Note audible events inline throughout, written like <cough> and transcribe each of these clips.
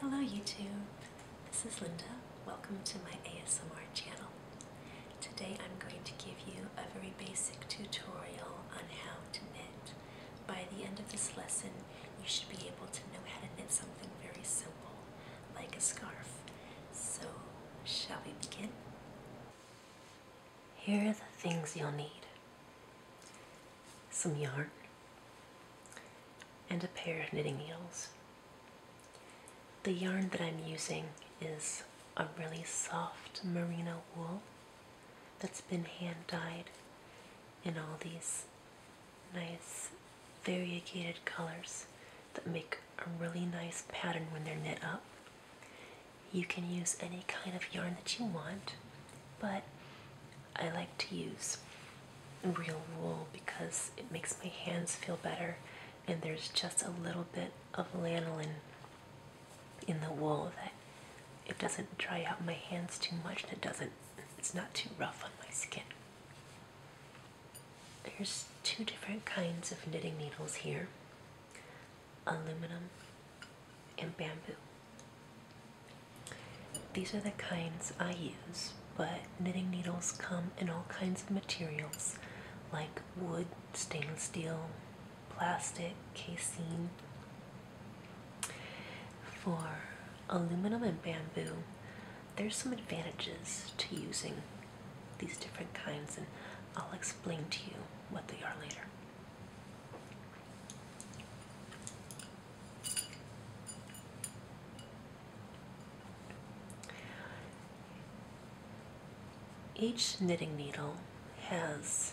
Hello YouTube, this is Linda. Welcome to my ASMR channel. Today I'm going to give you a very basic tutorial on how to knit. By the end of this lesson, you should be able to know how to knit something very simple, like a scarf. So, shall we begin? Here are the things you'll need some yarn, and a pair of knitting needles. The yarn that I'm using is a really soft merino wool that's been hand dyed in all these nice variegated colors that make a really nice pattern when they're knit up. You can use any kind of yarn that you want but I like to use real wool because it makes my hands feel better and there's just a little bit of lanolin in the wool that it doesn't dry out my hands too much and it doesn't it's not too rough on my skin. There's two different kinds of knitting needles here. Aluminum and bamboo. These are the kinds I use, but knitting needles come in all kinds of materials like wood, stainless steel, plastic, casing. For aluminum and bamboo, there's some advantages to using these different kinds, and I'll explain to you what they are later. Each knitting needle has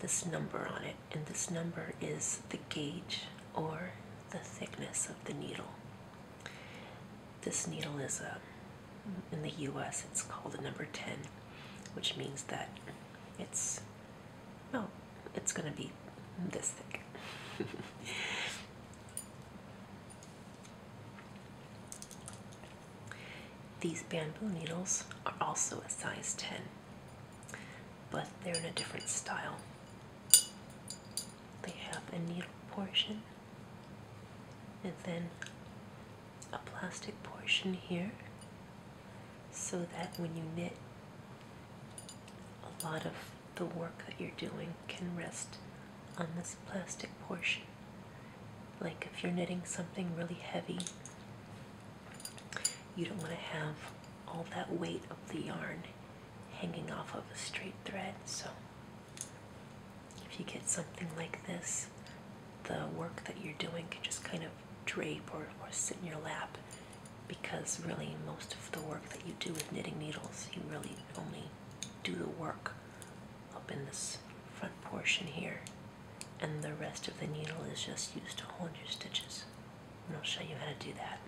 this number on it, and this number is the gauge or the thickness of the needle. This needle is a, um, in the US, it's called a number 10, which means that it's no, it's going to be this thick. <laughs> These bamboo needles are also a size 10, but they're in a different style. They have a needle portion and then a plastic portion here so that when you knit, a lot of the work that you're doing can rest on this plastic portion. Like if you're knitting something really heavy, you don't want to have all that weight of the yarn hanging off of a straight thread. So if you get something like this, the work that you're doing can just kind of drape or, or sit in your lap because really most of the work that you do with knitting needles, you really only do the work up in this front portion here and the rest of the needle is just used to hold your stitches. And I'll show you how to do that.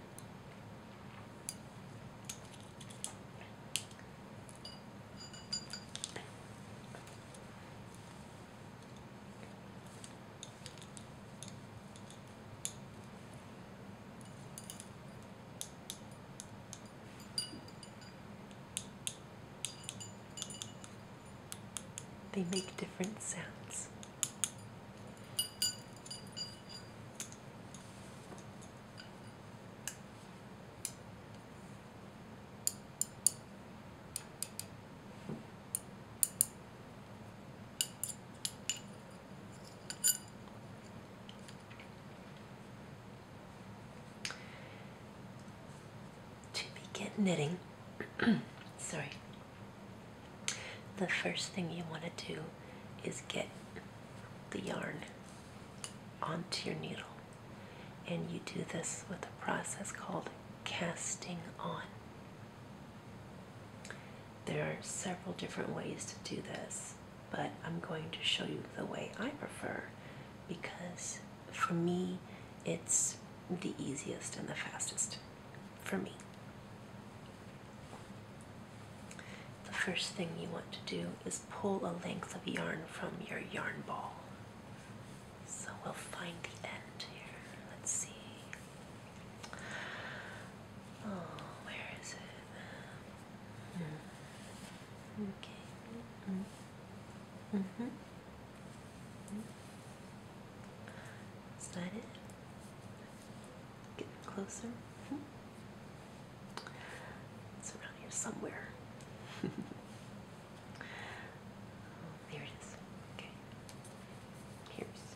They make different sounds. To begin knitting, <clears throat> sorry, the first thing you want to do is get the yarn onto your needle. And you do this with a process called casting on. There are several different ways to do this, but I'm going to show you the way I prefer because for me it's the easiest and the fastest for me. The first thing you want to do is pull a length of yarn from your yarn ball. So we'll find the end here. Let's see. Oh, where is it? Mm. Okay. Mm. Mm -hmm. Mm. Is that it? Getting closer? Mm. It's around here somewhere. <laughs> Oh, there it is. Okay. Here's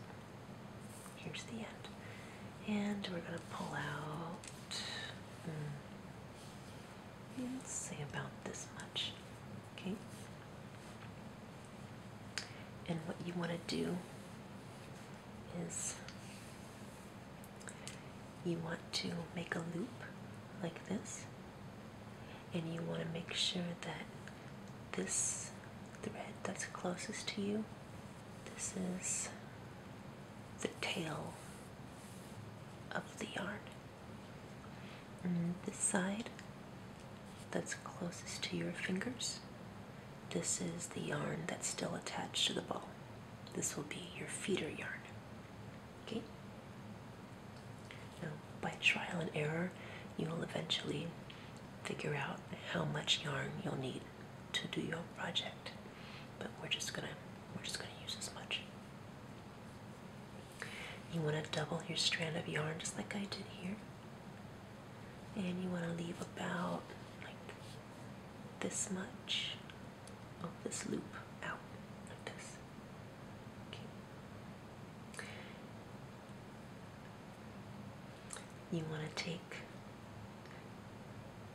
here's the end. And we're gonna pull out let's hmm, say about this much. Okay. And what you want to do is you want to make a loop like this and you want to make sure that this thread that's closest to you, this is the tail of the yarn. And this side that's closest to your fingers, this is the yarn that's still attached to the ball. This will be your feeder yarn. Okay? Now, by trial and error, you will eventually figure out how much yarn you'll need to do your project. But we're just gonna we're just gonna use as much. You want to double your strand of yarn just like I did here. And you want to leave about like this much of this loop out like this. Okay. You want to take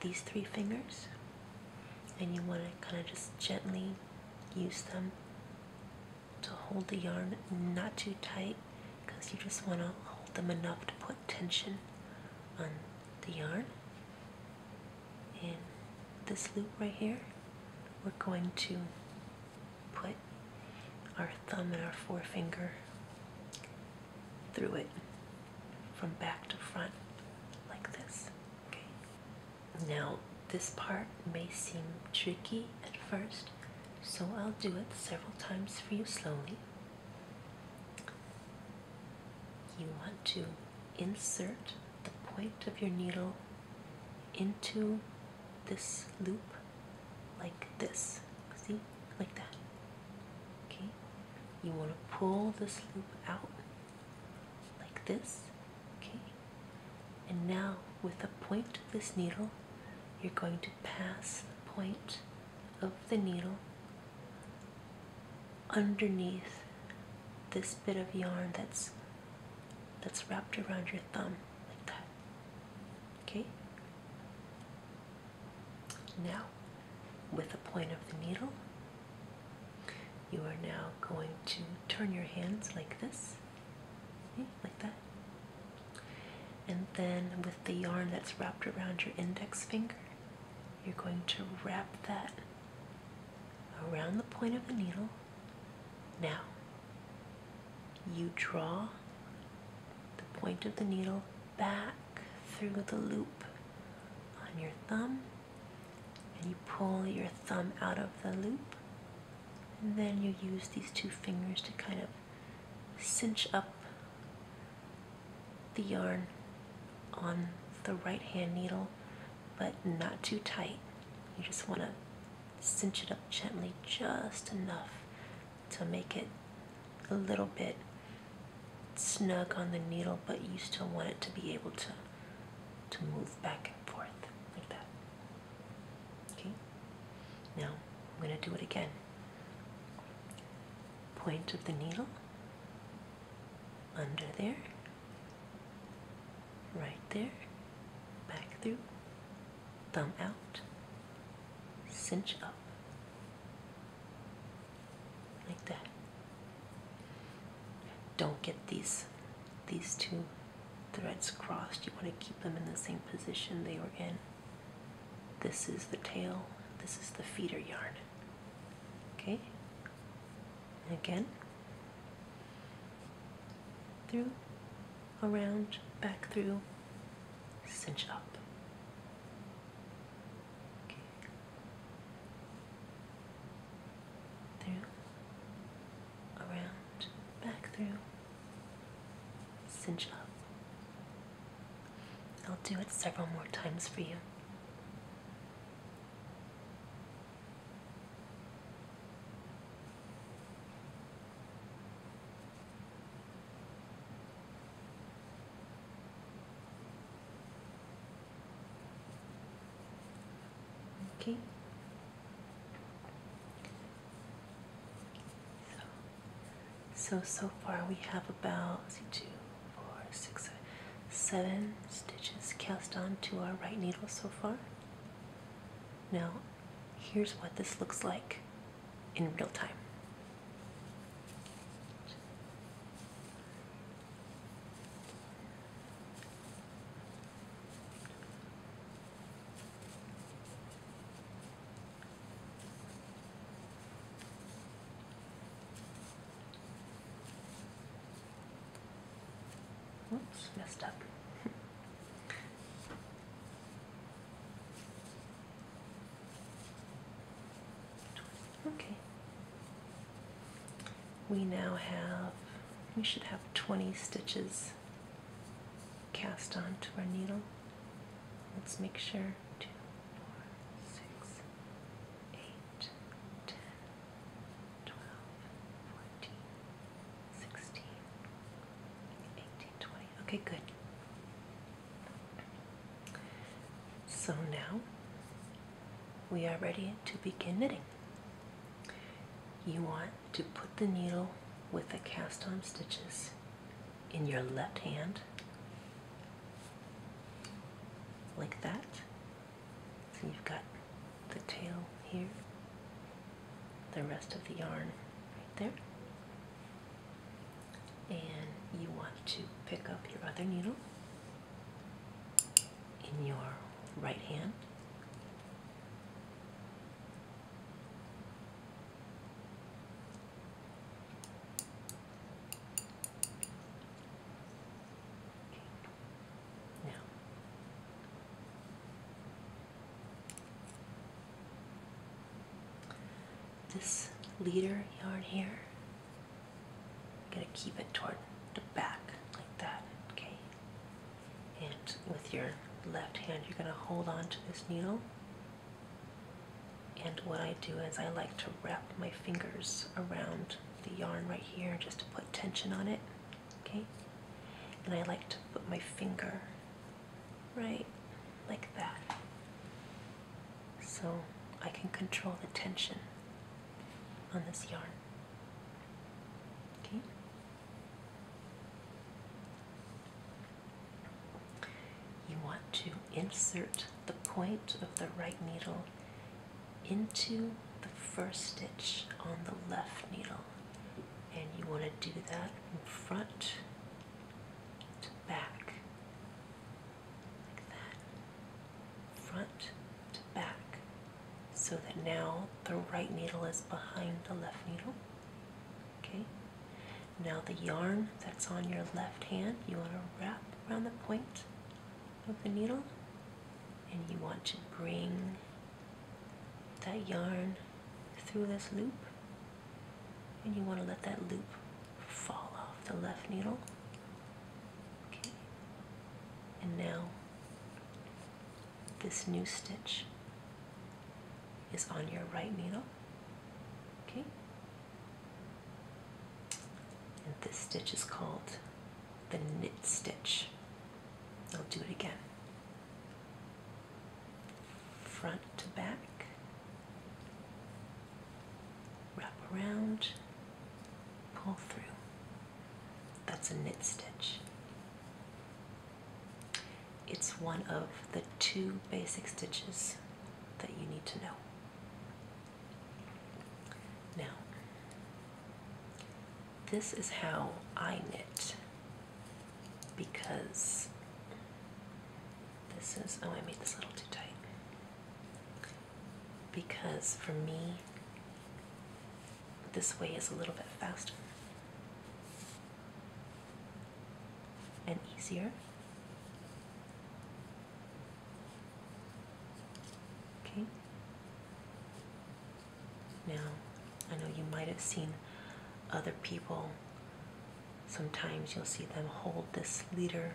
these three fingers and you want to kind of just gently use them to hold the yarn not too tight because you just want to hold them enough to put tension on the yarn. In this loop right here, we're going to put our thumb and our forefinger through it from back to front like this. Okay. Now this part may seem tricky at first, so I'll do it several times for you slowly. You want to insert the point of your needle into this loop like this. See? Like that. Okay? You want to pull this loop out like this. Okay? And now with the point of this needle, you're going to pass the point of the needle underneath this bit of yarn that's that's wrapped around your thumb like that. Okay? Now, with the point of the needle, you are now going to turn your hands like this, like that. And then with the yarn that's wrapped around your index finger, you're going to wrap that around the point of the needle now, you draw the point of the needle back through the loop on your thumb, and you pull your thumb out of the loop, and then you use these two fingers to kind of cinch up the yarn on the right hand needle but not too tight. You just want to cinch it up gently, just enough to make it a little bit snug on the needle, but you still want it to be able to to move back and forth like that. Okay. Now I'm going to do it again. Point of the needle under there right there, back through, thumb out, cinch up, like that. Don't get these these two threads crossed. You want to keep them in the same position they were in. This is the tail, this is the feeder yarn. Okay? again, through, around, back through, cinch up. Okay. Through, around, back through, cinch up. I'll do it several more times for you okay so so so far we have about see, two four six seven, seven stitches cast on to our right needle so far now, here's what this looks like in real time. Whoops, messed up. <laughs> okay. We now have, we should have 20 stitches cast onto our needle. Let's make sure. Two, four, six, eight, ten, twelve, fourteen, sixteen, eighteen, twenty. Okay, good. So now we are ready to begin knitting. You want to put the needle with the cast on stitches in your left hand, like that, so you've got the tail here, the rest of the yarn right there. And you want to pick up your other needle in your right hand. Yeah. This leader yarn here, I'm going to keep it toward the back like that, okay? And with your left hand, you're going to hold on to this needle. And what I do is I like to wrap my fingers around the yarn right here just to put tension on it okay and I like to put my finger right like that so I can control the tension on this yarn okay you want to insert the point of the right needle into the first stitch on the left needle and you want to do that from front to back like that front to back so that now the right needle is behind the left needle okay now the yarn that's on your left hand you want to wrap around the point of the needle and you want to bring that yarn through this loop and you want to let that loop fall off the left needle okay and now this new stitch is on your right needle okay and this stitch is called the knit stitch. I'll do it again. Front to back, wrap around, pull through. That's a knit stitch. It's one of the two basic stitches that you need to know. Now, this is how I knit because this is, oh, I made this a little too tight. Because for me, this way is a little bit faster and easier. Okay, now, I know you might have seen other people, sometimes you'll see them hold this leader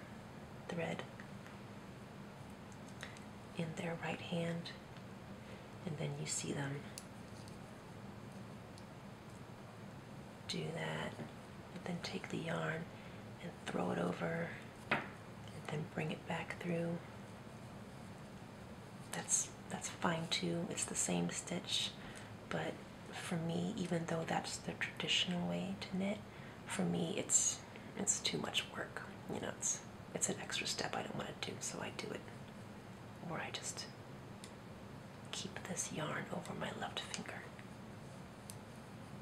thread in their right hand, and then you see them do that, then take the yarn and throw it over and then bring it back through. That's that's fine too. It's the same stitch, but for me, even though that's the traditional way to knit, for me it's it's too much work. You know, it's it's an extra step I don't want to do, so I do it. Or I just keep this yarn over my left finger.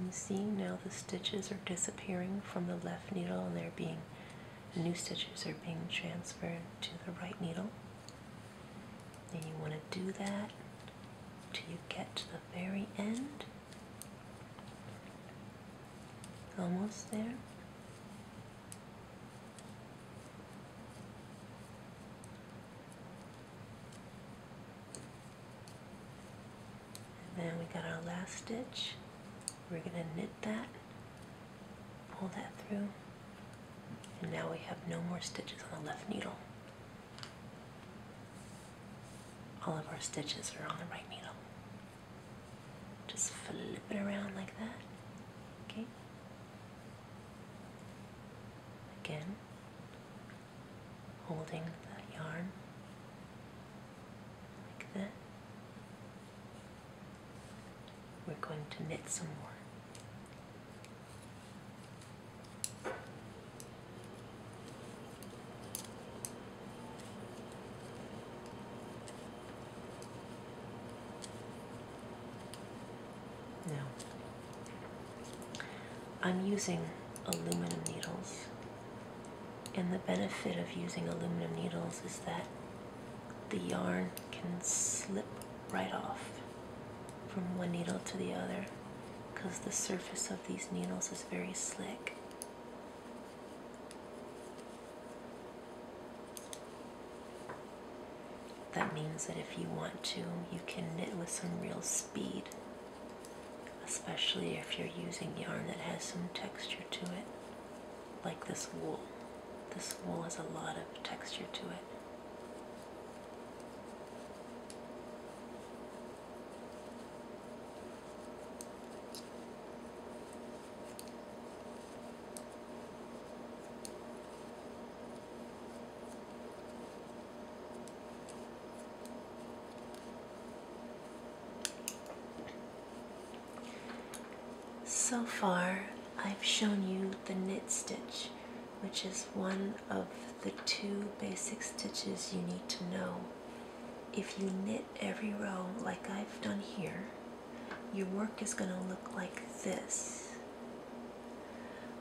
And see now the stitches are disappearing from the left needle and they're being new stitches are being transferred to the right needle. And you want to do that till you get to the very end. Almost there. And then we got our last stitch. We're going to knit that, pull that through, and now we have no more stitches on the left needle. All of our stitches are on the right needle. Just flip it around like that. Okay. Again, holding that yarn like that. We're going to knit some more. Now, I'm using aluminum needles, and the benefit of using aluminum needles is that the yarn can slip right off from one needle to the other because the surface of these needles is very slick. That means that if you want to, you can knit with some real speed, especially if you're using yarn that has some texture to it, like this wool. This wool has a lot of texture to it. So far, I've shown you the knit stitch, which is one of the two basic stitches you need to know if you knit every row like I've done here, your work is going to look like this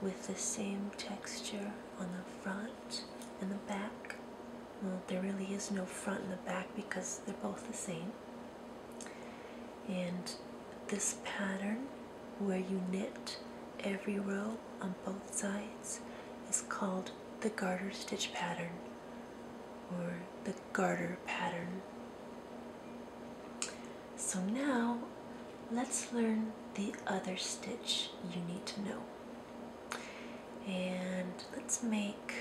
with the same texture on the front and the back. Well, there really is no front and the back because they're both the same. And this pattern where you knit every row on both sides is called the garter stitch pattern or the garter pattern. So now let's learn the other stitch you need to know. And let's make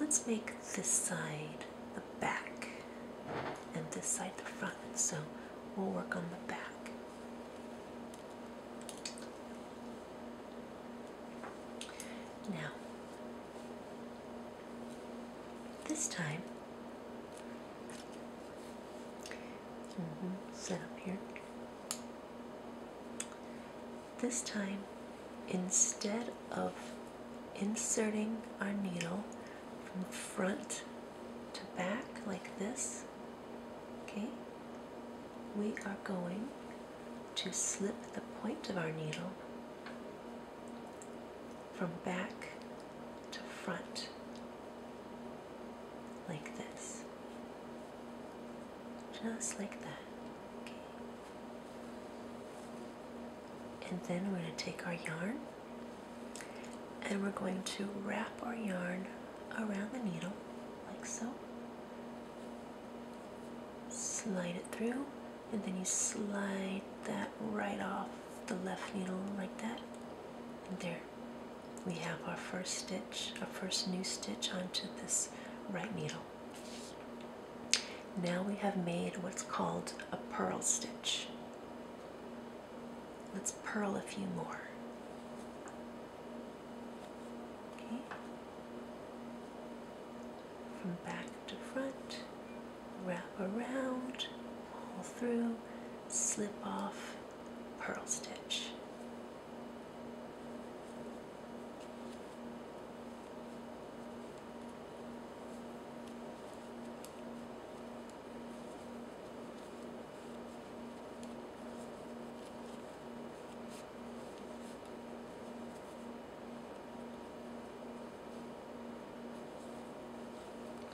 let's make this side the back and this side the front. So we'll work on the back. Now, this time, mm-hmm, set up here. This time, instead of inserting our needle from front to back like this, Okay, we are going to slip the point of our needle from back to front like this, just like that. Okay. And then we're going to take our yarn and we're going to wrap our yarn around the needle, like so. Slide it through, and then you slide that right off the left needle, like that. And there, we have our first stitch, our first new stitch onto this right needle. Now we have made what's called a purl stitch. Let's purl a few more. Okay. From back to front, wrap around, pull through, slip off, purl stitch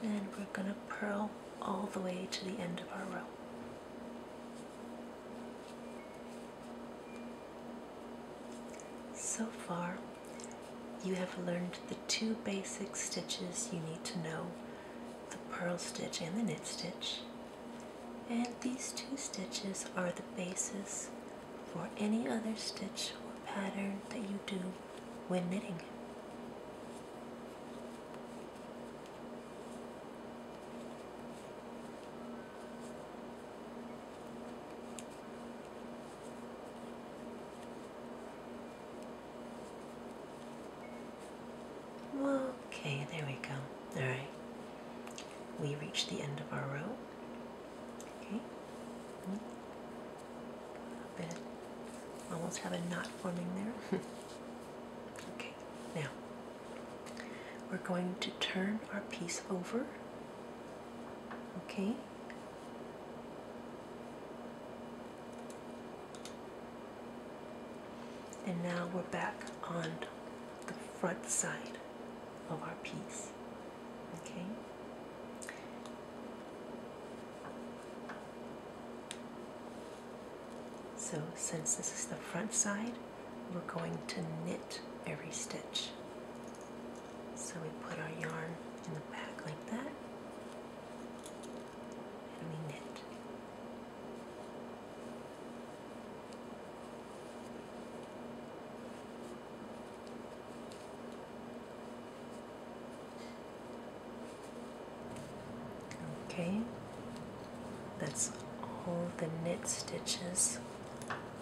and we're going to purl all the way to the end of our row. So far you have learned the two basic stitches you need to know, the purl stitch and the knit stitch, and these two stitches are the basis for any other stitch or pattern that you do when knitting. Okay, there we go. Alright. We reach the end of our row. Okay. A bit. Almost have a knot forming there. <laughs> okay, now we're going to turn our piece over. Okay. And now we're back on the front side of our piece. Okay. So since this is the front side, we're going to knit every stitch. So we put our yarn in the back like that, and we knit. Okay, that's all the knit stitches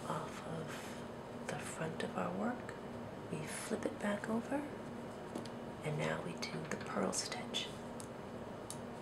off of the front of our work. We flip it back over, and now we do the purl stitch.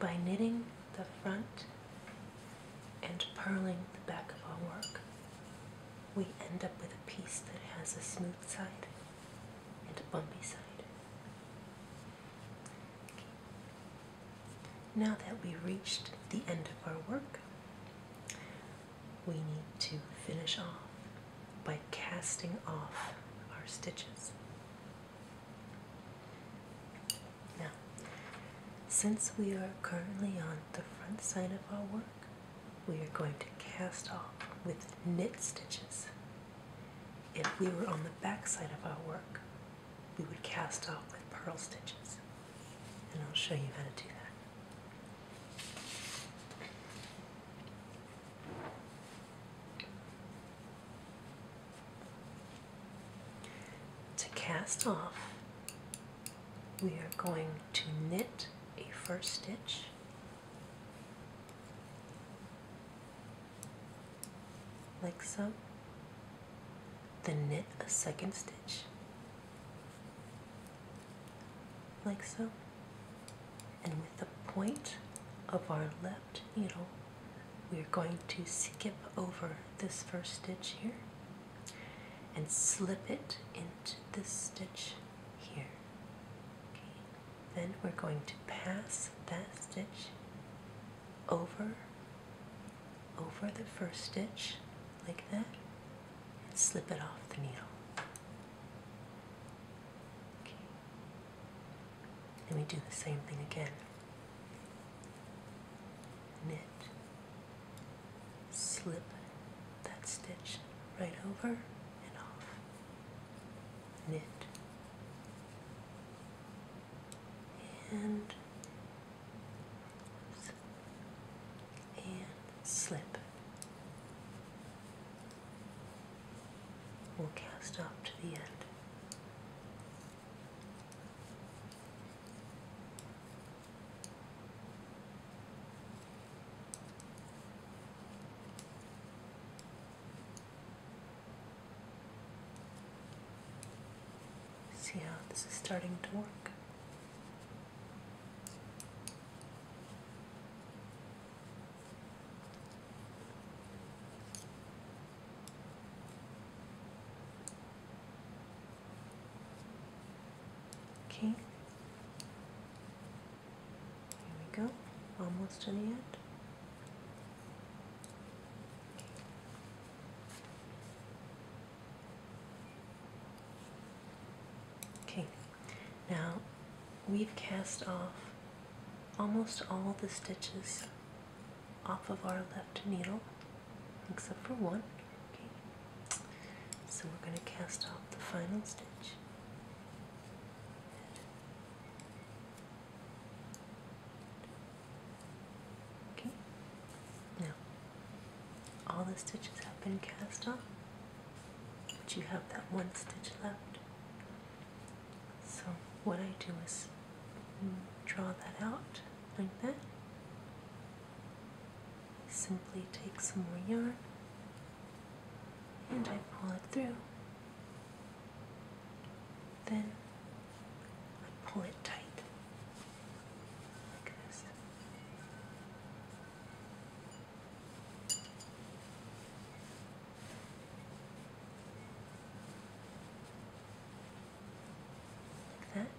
By knitting the front and purling the back of our work, we end up with a piece that has a smooth side and a bumpy side. Now that we have reached the end of our work, we need to finish off by casting off our stitches. Now, since we are currently on the front side of our work, we are going to cast off with knit stitches if we were on the back side of our work, we would cast off with purl stitches. And I'll show you how to do that. To cast off, we are going to knit a first stitch like so, then knit a second stitch like so, and with the point of our left needle, we're going to skip over this first stitch here and slip it into this stitch here. Okay. Then we're going to pass that stitch over over the first stitch like that and slip it off the needle. Okay. And we do the same thing again. Knit, slip that stitch right over and off knit and slip. We'll cast off to the end. See how this is starting to work. Okay. There we go, almost to the end. Okay, now we've cast off almost all the stitches off of our left needle except for one. Okay. So we're going to cast off the final stitch. Okay. Now, all the stitches have been cast off, but you have that one stitch left. So, what I do is draw that out like that. Simply take some more yarn and I pull it through. Then I pull it tight like this. Like that.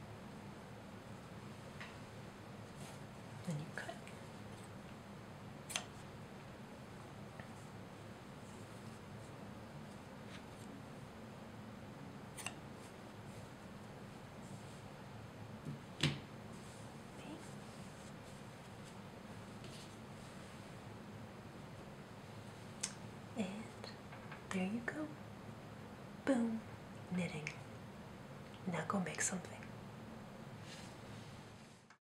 Then you cut. And there you go. Boom, knitting. Now go make something.